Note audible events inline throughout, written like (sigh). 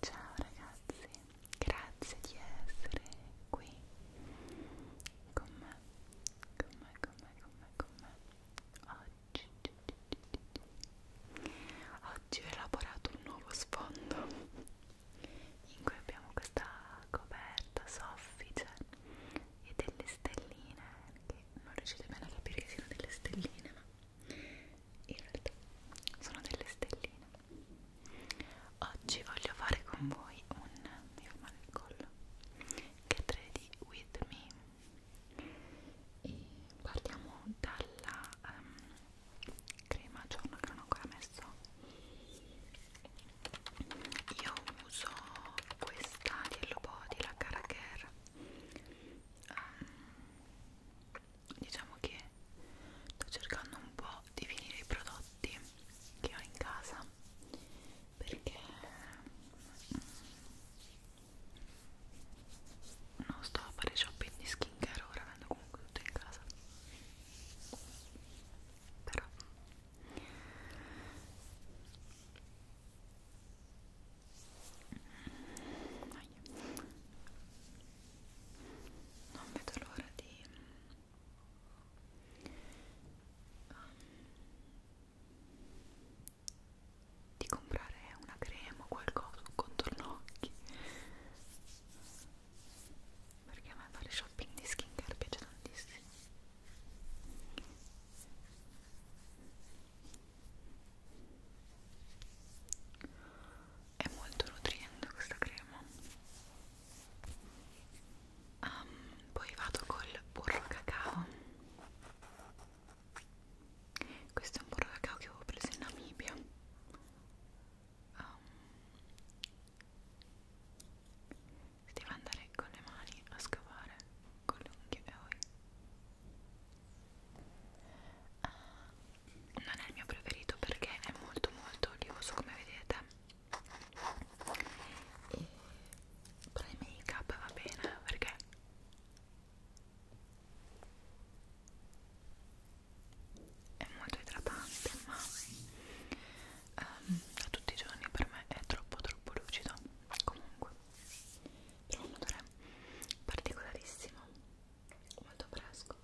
Ciao ragazzi, grazie di essere qui con me, con me, con me, con me, con me. Oggi, oggi ho elaborato un nuovo sfondo in cui abbiamo questa coperta soffice e delle stelline che non riuscite bene a capire che siano delle stelline ma in realtà sono delle stelline oggi voglio fare con voi un mi fa male il collo get ready with me e partiamo dalla um, crema giorno che non ho ancora messo io uso questa di Hello Body, la Cara Care um, diciamo che sto cercando un po' di finire i prodotti che ho in casa perché mm, non sto a fare shopping di skincare ora avendo comunque tutto in casa però non vedo l'ora di um, di comprare una crema o qualcosa, un contorno occhi perché a me fare shopping di skincare piace tantissimo è molto nutriente questa crema. Um, poi vado col burro cacao. Questo è un burro cacao che avevo preso in Namibia. Um, si deve andare con le mani a scavare con le unghie e poi uh, ah, non è il mio preferito perché è molto molto olioso come vedete e per il make up va bene perché è molto idratante ma um, a tutti i giorni per me è troppo troppo lucido comunque è un odore particolarissimo molto fresco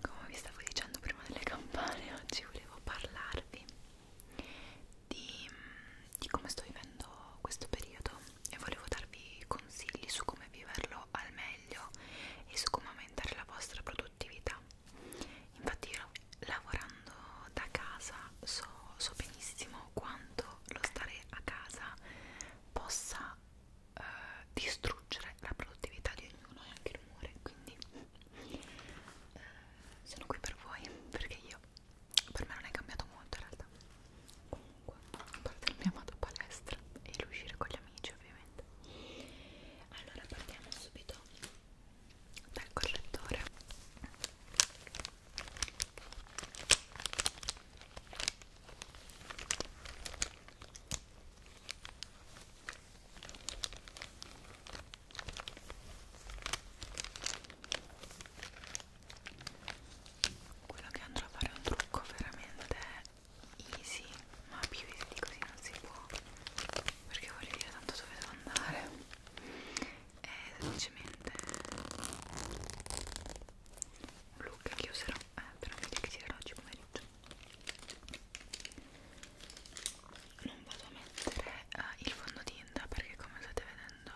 come vi stavo dicendo prima delle campane (laughs) oggi volevo parlarvi di, di come sto vivendo questo periodo e volevo darvi consigli su come viverlo al meglio e su come aumentare la vostra produttività Infatti io lavorando da casa so, so benissimo quanto lo stare a casa possa eh, distruggere la produttività di ognuno e anche il rumore, quindi eh, sono qui per voi perché io per me non è cambiato molto in realtà. Comunque, a parte il mio amato palestra e l'uscire con gli amici ovviamente. Allora partiamo subito dal correttore quello che andrò a fare è un trucco veramente easy ma più easy di così non si può perché voglio dire tanto dove devo andare è eh, semplicemente un look che userò eh, per un video che tirerò oggi pomeriggio non vado a mettere eh, il fondotinta perché come state vedendo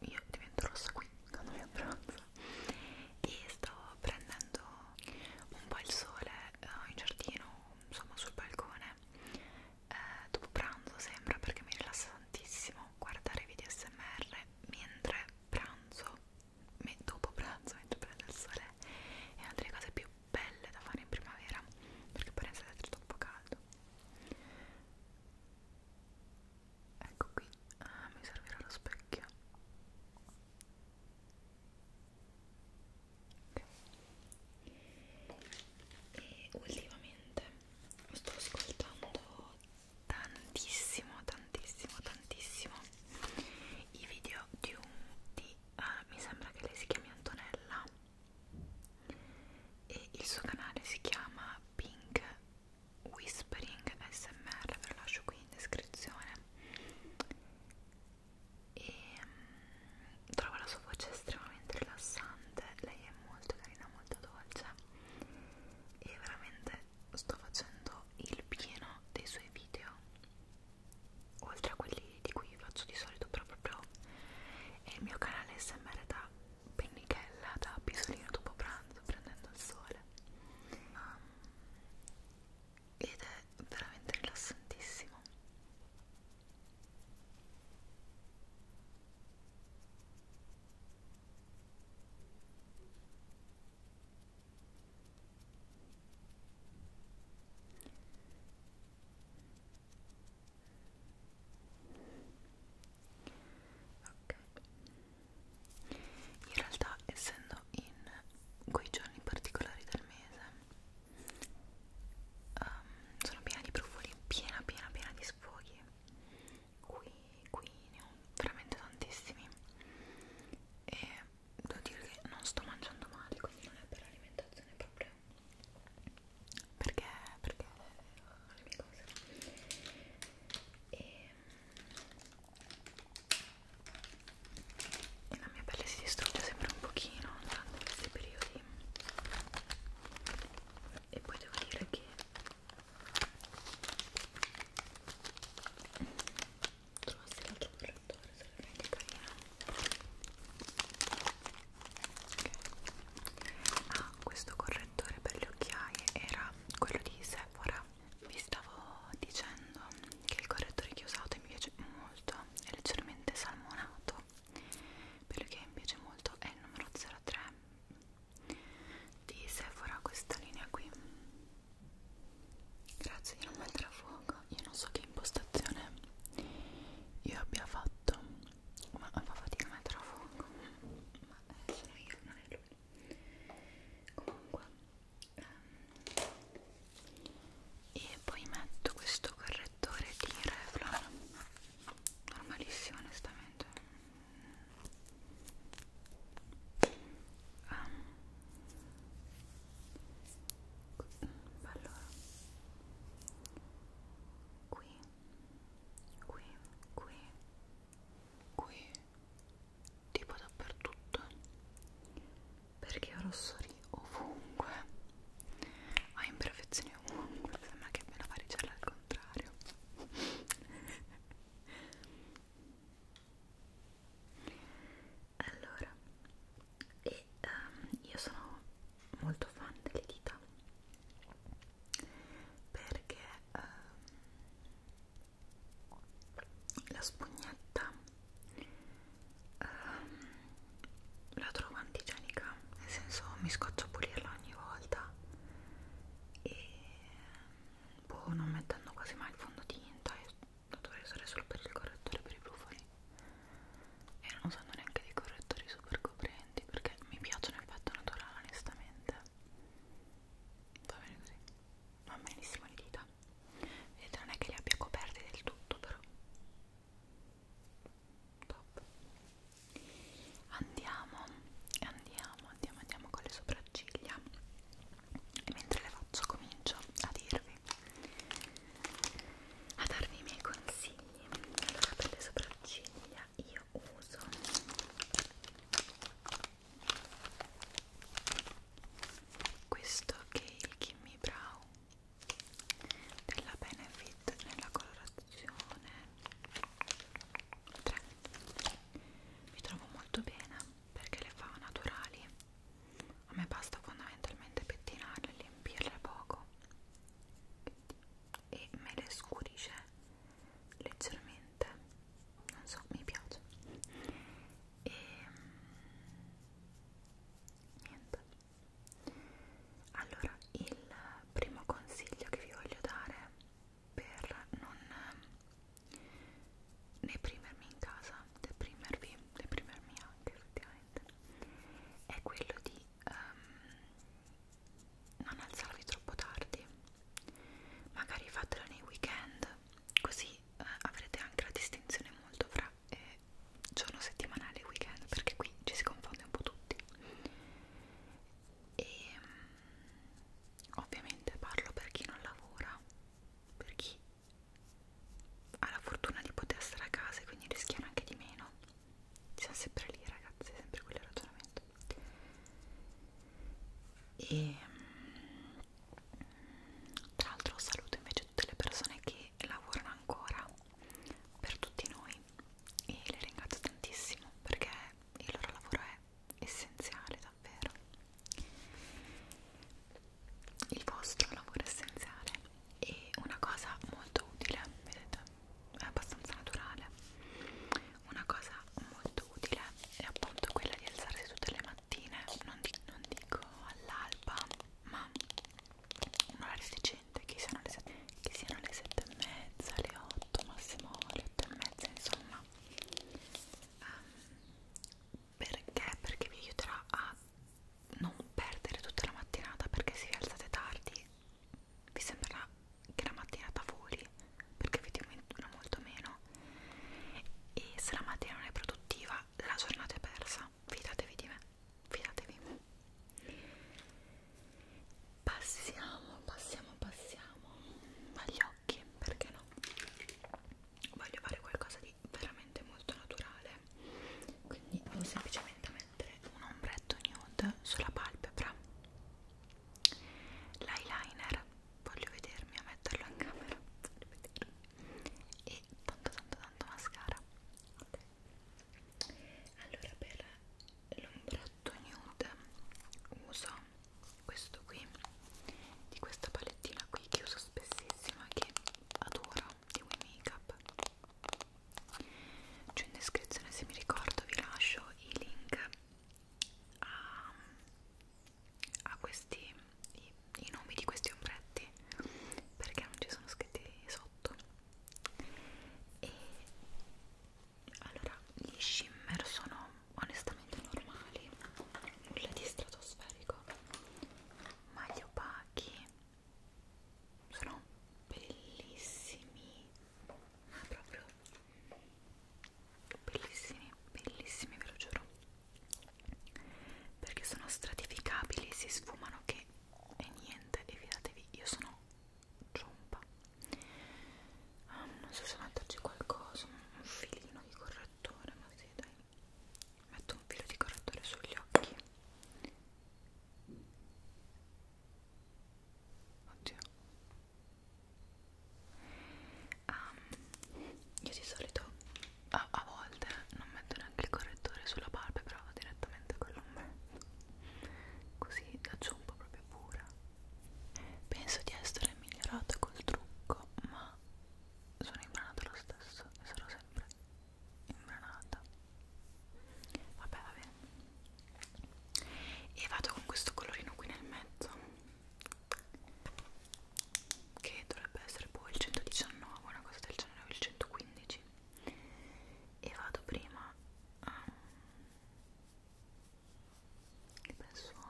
io divento rossa qui quando mi abbronzo e sto prendendo un po' il sole eh, in giardino insomma sul balcone eh, dopo pranzo sembra perché mi rilassa tantissimo guardare video smr mentre pranzo me, dopo pranzo mentre prende il sole è una delle cose più belle da fare in primavera perché poi resta è troppo caldo ecco qui ah, mi servirà lo specchio e ultimamente sto ascoltando tantissimo tantissimo tantissimo i video di un di ah, mi sembra che lei si chiami Antonella e il suo canale si chiama Pink Whispering SMR ve lo lascio qui in descrizione e um, mm, trovo la sua voce estremamente rilassante lei è molto carina, molto dolce e veramente sto facendo il pieno dei suoi video oltre a quelli di cui faccio di solito però proprio è il mio canale smr da pennichella da pisolino dopo pranzo prendendo il sole um, ed è veramente rilassantissimo Ok, in realtà essendo in quei giorni particolari del mese um, sono piena di profumi, piena piena piena di sfoghi qui, qui ne ho veramente tantissimi e devo dire che non sto mangiando male quindi non è per l'alimentazione proprio perché, perché ho eh, le mie cose e, e la mia pelle si distrugge sempre un pochino durante questi periodi e poi devo dire che trovassi l'altro correttore sarebbe anche carino okay. ah questo correttore per le occhiaie era quello di Sephora vi stavo dicendo che il correttore che ho usato mi piace molto è leggermente salmonato quello che mi piace molto è il numero 03 di Sephora questa linea qui grazie di non mettere a fuoco io non so che impostazione io abbia fatto ma fa fatica a mettere a fuoco ma eh, sono io non è lui comunque ehm, e poi metto questo correttore di Revlon normalissimo onestamente um. allora qui qui qui qui tipo dappertutto perché ho rossori ovunque ho ah, imperfezioni oh, sembra che me la varicella al contrario allora e um, io sono molto fan delle dita perché um, la spugnetta um, la trovo antigenica nel senso mi scoccio a pulirla ogni volta e boh non mettendo quasi mai il fondotinta io la dovrei usare solo per il correttore per i brufoli e non usando neanche dei correttori super coprenti perché mi piacciono l'effetto naturale onestamente va bene così va benissimo le dita vedete non è che le abbia coperte del tutto però top andiamo andiamo andiamo andiamo con le sopracciglia e mentre le faccio comincio a dirvi a darvi i miei consigli allora per le sopracciglia io uso questo che è il Kimmy Brow della Benefit nella colorazione 3 mi trovo molto bene perché le fa naturali a me basta fondamentalmente pettinarle, riempirle poco e me le scurisce leggermente non so, mi piace e mm, niente allora il primo consiglio che vi voglio dare per non ehm, deprimermi in casa deprimervi deprimermi anche effettivamente è quello di um, non alzarvi troppo tardi magari fatela nei weekend così eh, avrete anche la distinzione molto fra eh, giorno settimanale e weekend perché qui ci si confonde un po' tutti e mm, ovviamente parlo per chi non lavora per chi ha la fortuna di poter stare a casa e quindi rischiare anche di meno siamo sempre lì ragazzi sempre quello ragionamento e mm, tra l'altro saluto invece tutte le persone che lavorano ancora per tutti noi e le ringrazio tantissimo perché il loro lavoro è essenziale davvero il vostro lavoro è essenziale e una cosa molto utile vedete è abbastanza naturale una cosa molto utile è appunto quella di alzarsi tutte le mattine non, di non dico all'alba ma un'ora alle 6 gente che siano le, che siano le 7 e mezza, le 8, massimo le 8 e mezza, insomma um, perché? perché vi aiuterà a non perdere tutta la mattinata perché se vi alzate tardi vi sembrerà che la mattinata voli perché vi dimenticano molto meno e se la mattina non è produttiva la giornata è persa fidatevi di me fidatevi passiamo passiamo passiamo agli occhi perché no voglio fare qualcosa di veramente molto naturale quindi vado semplicemente a mettere un ombretto nude sulla palpebra l'eyeliner voglio vedermi a metterlo in camera voglio vedermi e tanto tanto tanto mascara ok allora per l'ombrotto nude uso questo qui di questa palettina qui che uso spessissima che adoro di We Makeup c'è in descrizione se mi ricordo vi lascio i link a, a questi i, i nomi di questi ombretti perché non ci sono scritti sotto e allora gli shimmer sono onestamente normali nulla di stratosferico ma gli opachi sono bellissimi ma proprio bellissimi bellissimi ve lo giuro perché sono stratificabili si sfumano che e niente e fidatevi io sono ciompa um, non so se metterci qualcosa un filino di correttore ma sì dai metto un filo di correttore sugli occhi oddio um, io di solito a, a volte non metto neanche il correttore sulla barba però direttamente con l'ombretto così la zompa proprio pura penso di essere migliorata col trucco ma sono imbranata lo stesso e sarò sempre imbranata vabbè va bene e vado con questo colorino qui nel mezzo che dovrebbe essere poi boh, il 119 una cosa del genere o il 115 e vado prima a um, che bel suono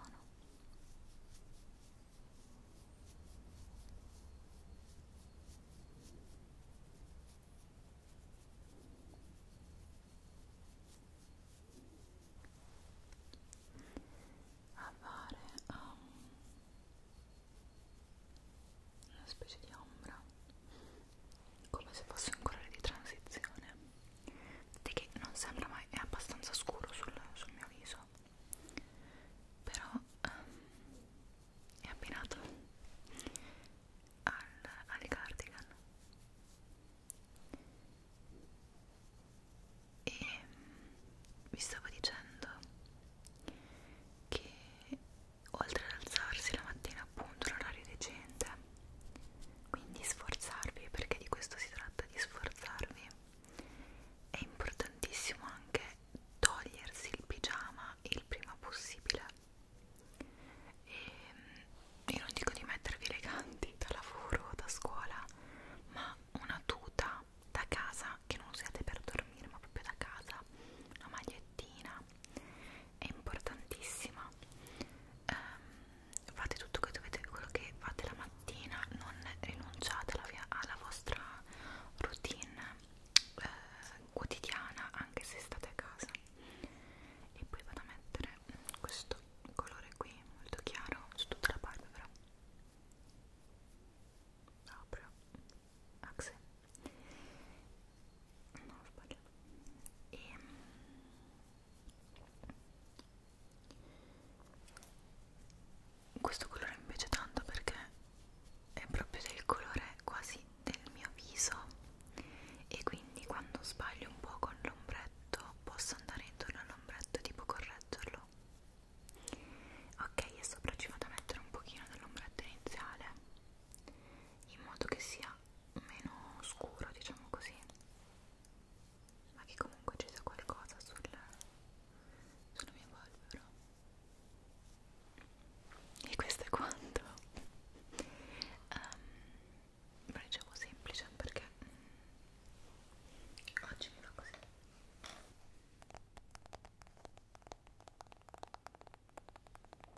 avare um, una specie di ombra come se fosse un colore di transizione di che non sembra mai, è abbastanza scuro sul, sul mio viso però um, è abbinato al, al cardigan e mm, vi stavo dicendo che oltre ad alzarsi la mattina appunto l'orario decente quindi sforzarvi, perché di questo si tratta, di sforzarvi. È importantissimo anche togliersi il pigiama il prima possibile. E ehm, io non dico di mettervi eleganti da lavoro o da scuola, ma una tuta da casa che non usiate per dormire, ma proprio da casa, una magliettina, è importantissima um, fate tutto che dovete, quello che fate la mattina non rinunciate alla, via, alla vostra routine eh, quotidiana anche se state a casa e poi vado a mettere questo colore qui molto chiaro su tutta la palpebra proprio axe no ho sbagliato e ehm, questo colore mi piace tanto perché è proprio del colore quasi del mio viso e quindi quando sbaglio un po' con l'ombretto posso andare intorno all'ombretto e tipo correggerlo ok e sopra ci vado a mettere un pochino dell'ombretto iniziale in modo che sia meno scuro diciamo così ma che comunque ci sia qualcosa sul, sulla mia polvere e questo è quanto um, ehm, ma dicevo semplice perché mm, oggi mi va così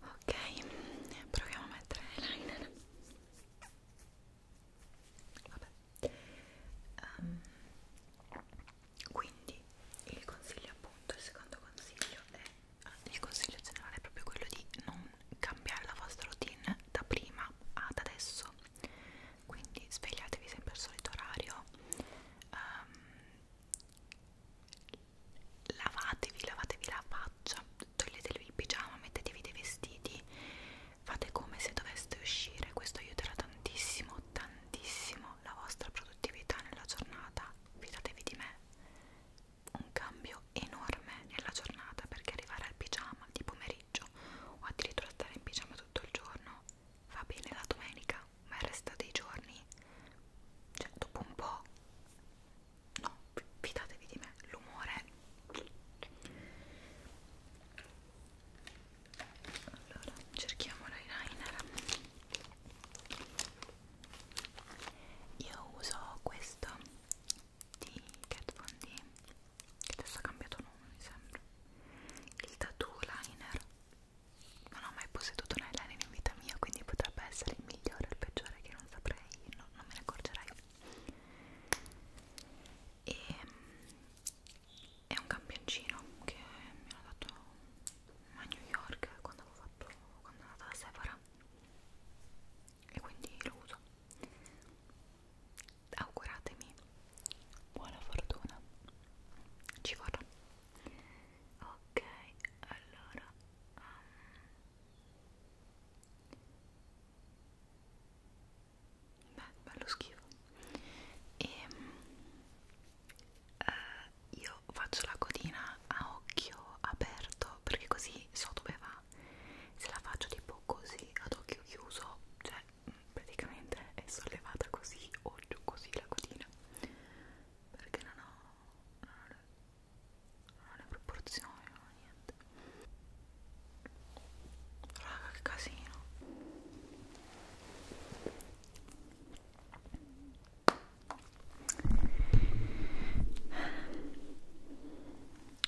ok proviamo a mettere l'eyeliner vabbè um, quindi il consiglio appunto il secondo consiglio è eh, il consiglio generale è proprio quello di non cambiare la vostra routine da prima ad adesso quindi svegliatevi sempre al solito orario um, lavatevi, lavatevi la faccia, toglietevi il pigiama, mettetevi dei vestiti, fate come se doveste uscire, questo aiuterà tantissimo, tantissimo la vostra produttività nella giornata, fidatevi di me, un cambio enorme nella giornata perché arrivare al pigiama di pomeriggio o addirittura stare in pigiama tutto il giorno va bene la domenica, ma il resto dei giorni cioè dopo un po' no, fidatevi di me, l'umore allora cerchiamo l'eyeliner io uso questo di Kat Von D che adesso ha cambiato nome mi sembra il tattoo liner non ho mai posseduto un eyeliner in vita mia quindi potrebbe essere il migliore o il peggiore che non saprei no, non me ne accorgerei e ehm, è un campioncino che mi hanno dato a New York quando avevo fatto quando ero andata da Sephora e quindi lo uso auguratemi buona fortuna ci vorrà ok allora um, beh, bello schifo e ehm, uh, eh, io faccio la codina a occhio aperto perché così so dove va se la faccio tipo così ad occhio chiuso cioè mm, praticamente è sollevata così o giù così la codina perché non ho, non ho non le proporzioni non niente raga che casino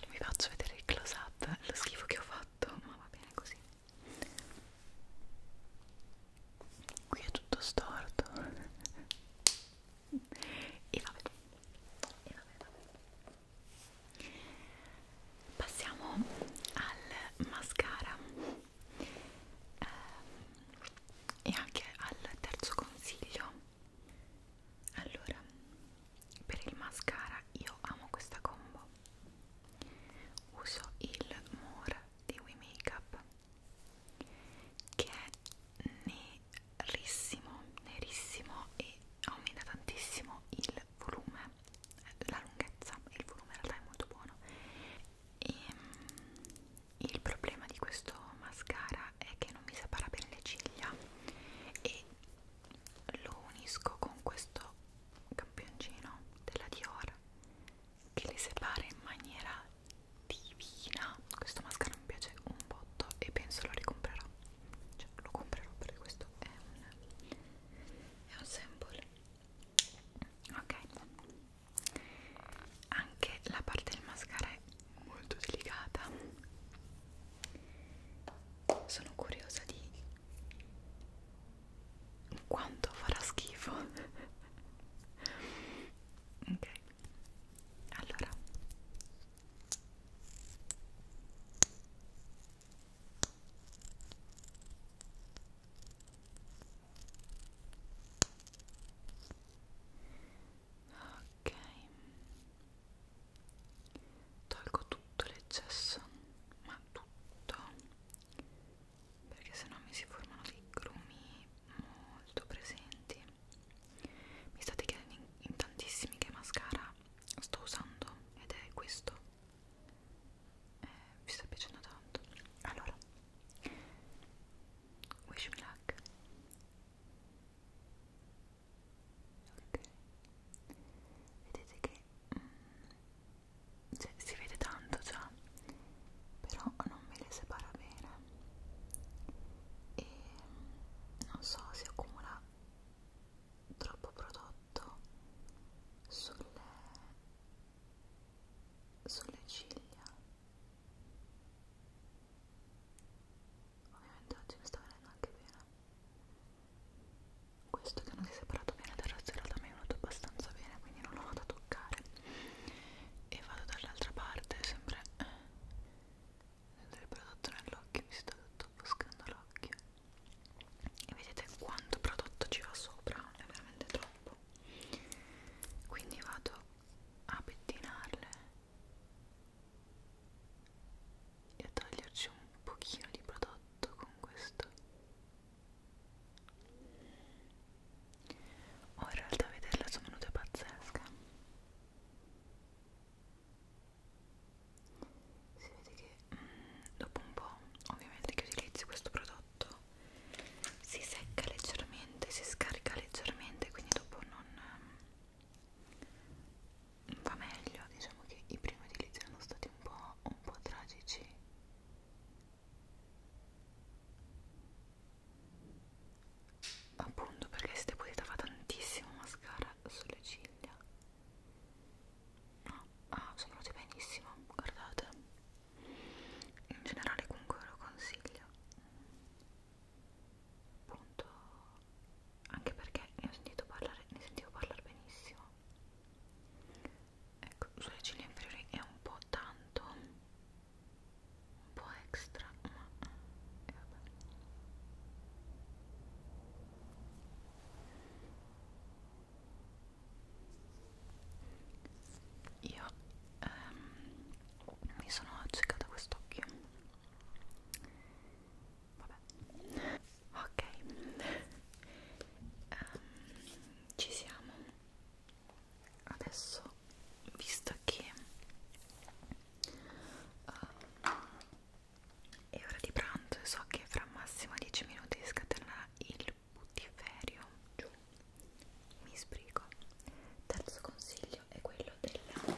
vi faccio vedere il close up lo schifo che ho fatto ma va bene così qui è tutto storto e vabbè, e vabbè, vabbè. Passiamo al mascara eh, e anche al terzo consiglio. Allora, per il mascara io amo questa combo. Uso il More di We Makeup che è ne nerissimo, nerissimo e aumenta tantissimo il volume, la lunghezza e il volume in realtà è molto buono. E, ehm, il problema di questo mascara è che non mi separa bene le ciglia e lo unisco con questo campioncino della Dior che le separa in maniera divina questo mascara mi piace un botto e penso lo ricomprerò cioè lo comprerò perché questo è un è un sample ok anche la parte del mascara è molto delicata sono curiosa di quanto farà schifo (laughs) ok allora ok tolgo tutto l'eccesso ma tutto perché sennò mi si formano dei grumi molto presenti mi state chiedendo in, in tantissimi che mascara sto usando ed è questo eh, vi sta piacendo tanto allora wish me luck ok vedete che mm, cioè, si vede tanto già però non me le separa bene e non so si accumula troppo prodotto sulle, sulle ciglia ovviamente oggi mi sta venendo anche bene questo che non si è separato bene dal razzerato mi è venuto abbastanza bene quindi non lo vado a toccare e vado dall'altra parte sempre del prodotto nell'occhio mi sto offuscando l'occhio e vedete quanto prodotto ci va sopra è veramente troppo quindi vado a pettinarle e a toglierci un pochino di prodotto con questo Oh, in realtà vederla sono venute pazzesche si vede che mm, dopo un po' ovviamente che utilizzi questo prodotto si secca leggermente si scarica leggermente quindi dopo non mm, va meglio diciamo che i primi utilizzi erano stati un po', un po' tragici appunto perché si depositava tantissimo mascara sulle ciglia no, ah, sono venuti benissimo, guardate in generale comunque ve lo consiglio appunto anche perché ne ho sentito parlare, ne sentivo parlare benissimo ecco, sulle ciglia inferiori è un po' tanto un po' extra ma eh, vabbè io ehm, mi sono accecata quest'occhio vabbè ok um, ci siamo adesso ecco visto che uh, è ora di pranzo e so che fra massimo 10 minuti scatenerà il putiferio giù mi sbrigo terzo consiglio è quello della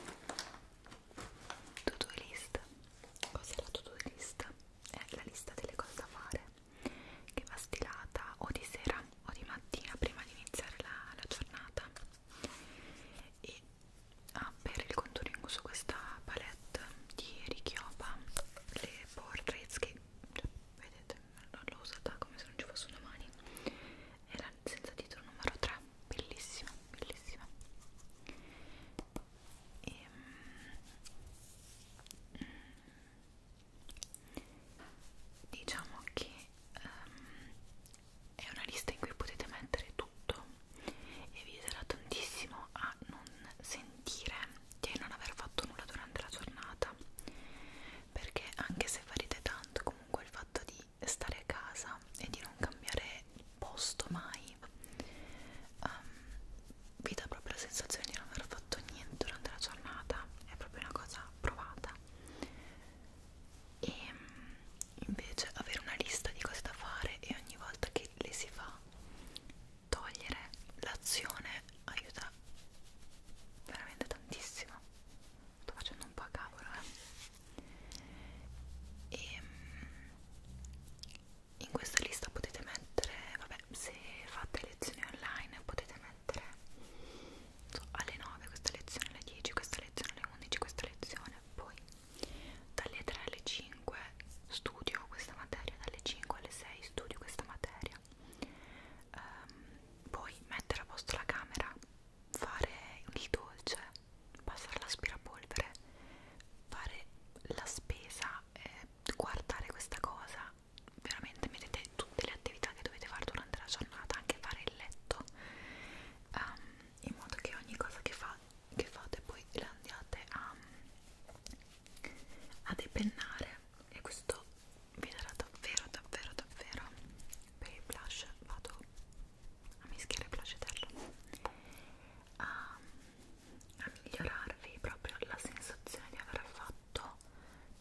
to do list cos'è la to do list? è la lista delle cose da fare che va stilata o di sera o di mattina prima di iniziare la, la giornata e ah, per il contouring uso questa palette di Richiopa le Portraits che cioè, vedete non l'ho usata come se non ci fosse una mani era senza titolo numero 3 bellissima bellissima e, ehm, mm, diciamo che um, è una lista in cui potete mettere tutto e vi aiuterà tantissimo a non sentire di non aver fatto nulla durante la giornata perché anche se farete tanto comunque il fatto di stare a casa e di non cambiare posto mai um, vi dà proprio la sensazione di non aver fatto niente durante la giornata è proprio una cosa provata e mm, invece avere una lista di cose da fare e ogni volta che le si fa togliere l'azione aiuta veramente tantissimo sto facendo un po' a cavolo eh. e mm, in questa lista potete mettere vabbè se fate lezioni online potete mettere so, alle 9 questa lezione alle 10 questa lezione alle 11 questa lezione bene poi dalle 3 alle 5 studio questa materia dalle 5 alle 6 studio questa materia um, poi mettere a posto la camera fare il dolce passare l'aspirapolvere fare la spesa eh, guardare questa cosa veramente mettete tutte le attività che dovete fare durante la giornata anche fare il letto um, in modo che ogni cosa che, fa, che fate poi la andiate a, a depennare e questo vi darà davvero davvero davvero per il blush vado a mischiare blush eterno a, ehm, a migliorarvi proprio la sensazione di aver fatto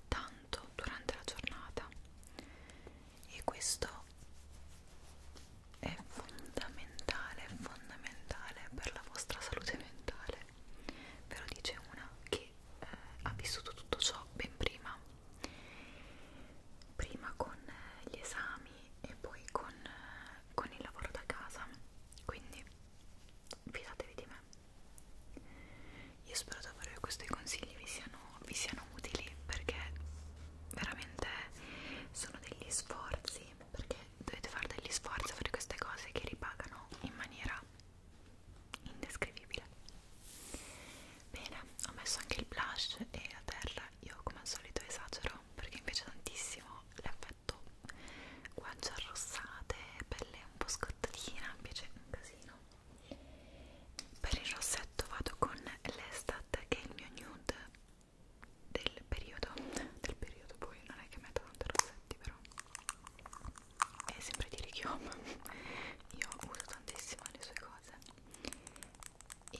tanto durante la giornata e questo è fondamentale, fondamentale per la vostra salute mentale. Ve lo dice una che eh, ha vissuto tutto ciò ben prima, prima con eh, gli esami e poi con, eh, con il lavoro da casa. Quindi fidatevi di me. Io spero davvero che questi consigli vi siano siano, vi siano utili perché veramente sono degli sforzi perché dovete fare degli sforzi per queste cose che ripagano in maniera indescrivibile bene ho messo anche il blush e la terra io come al solito esagero perché mi piace tantissimo l'effetto guance arrossate pelle un po' scottatina mi piace un casino per il rossetto vado con l'Estat che è il mio nude del periodo del periodo poi non è che metto tanto rossetti però è sempre di Richiom (laughs) io uso tantissimo le sue cose e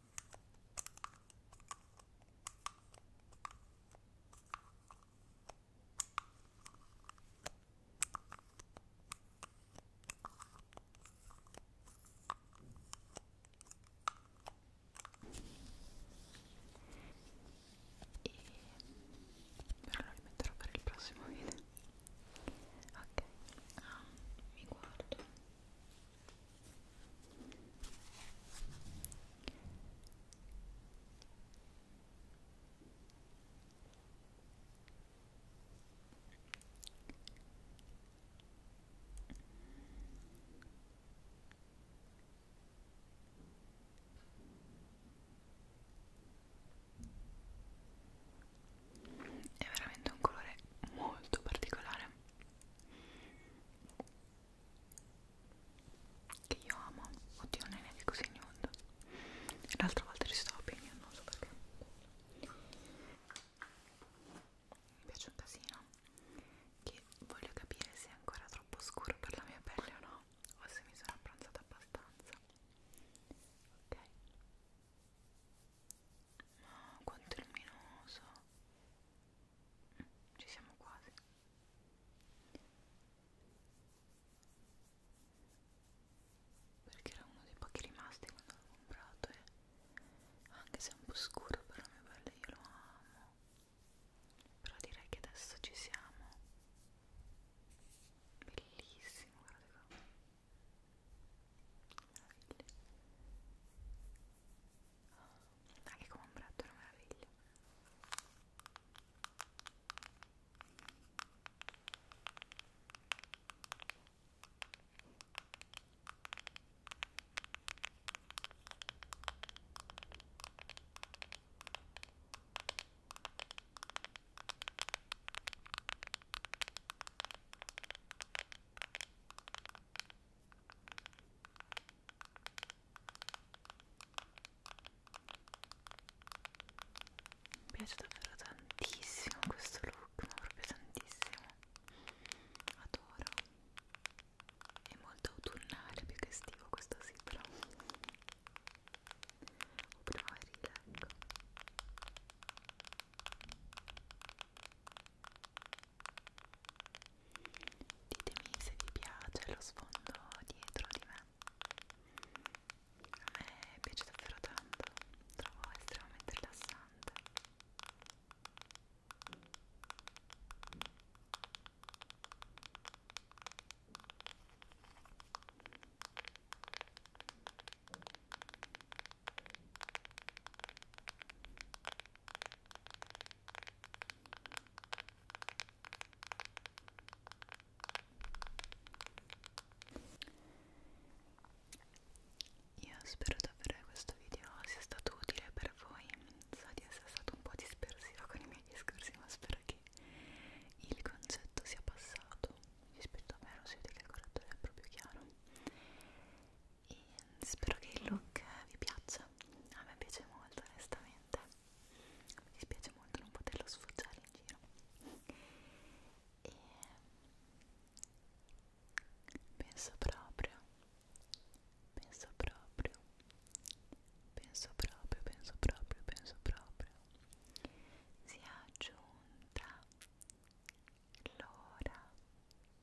e però lo rimetterò per il prossimo video ok ah, mi guardo è veramente un colore molto particolare, che io amo oddio non ne dico così nulla l'altra volta ci stavo bene non so perché mi piace un casino che voglio capire se è ancora troppo scuro per la mia pelle o no o se mi sono abbronzata abbastanza ok ma quanto è luminoso! Ci siamo quasi. Perché era uno dei pochi rimasti quando l'ho comprato e eh. anche se è un po' scuro però mio bello io lo amo. Però direi che adesso ci siamo. Bellissimo, guardate qua. Oh, anche come un bratto è una meraviglia mi piace davvero tantissimo questo look, ma proprio tantissimo. Adoro. È molto autunnale più che estivo questo sì, però. O primaverile, ecco. Ditemi se vi piace lo sfondo dietro di me. A me piace davvero tanto, trovo estremamente rilassante. Ora io spero davvero che questo video sia stato utile per voi. So di essere stato un po' dispersiva con i miei discorsi, ma spero che il concetto sia passato. Rispetto a me, lo si vede che il correttore è proprio chiaro e spero che il look vi piaccia a me piace molto onestamente mi dispiace molto non poterlo sfoggiare in giro e penso proprio penso proprio penso proprio penso proprio penso proprio sia giunta l'ora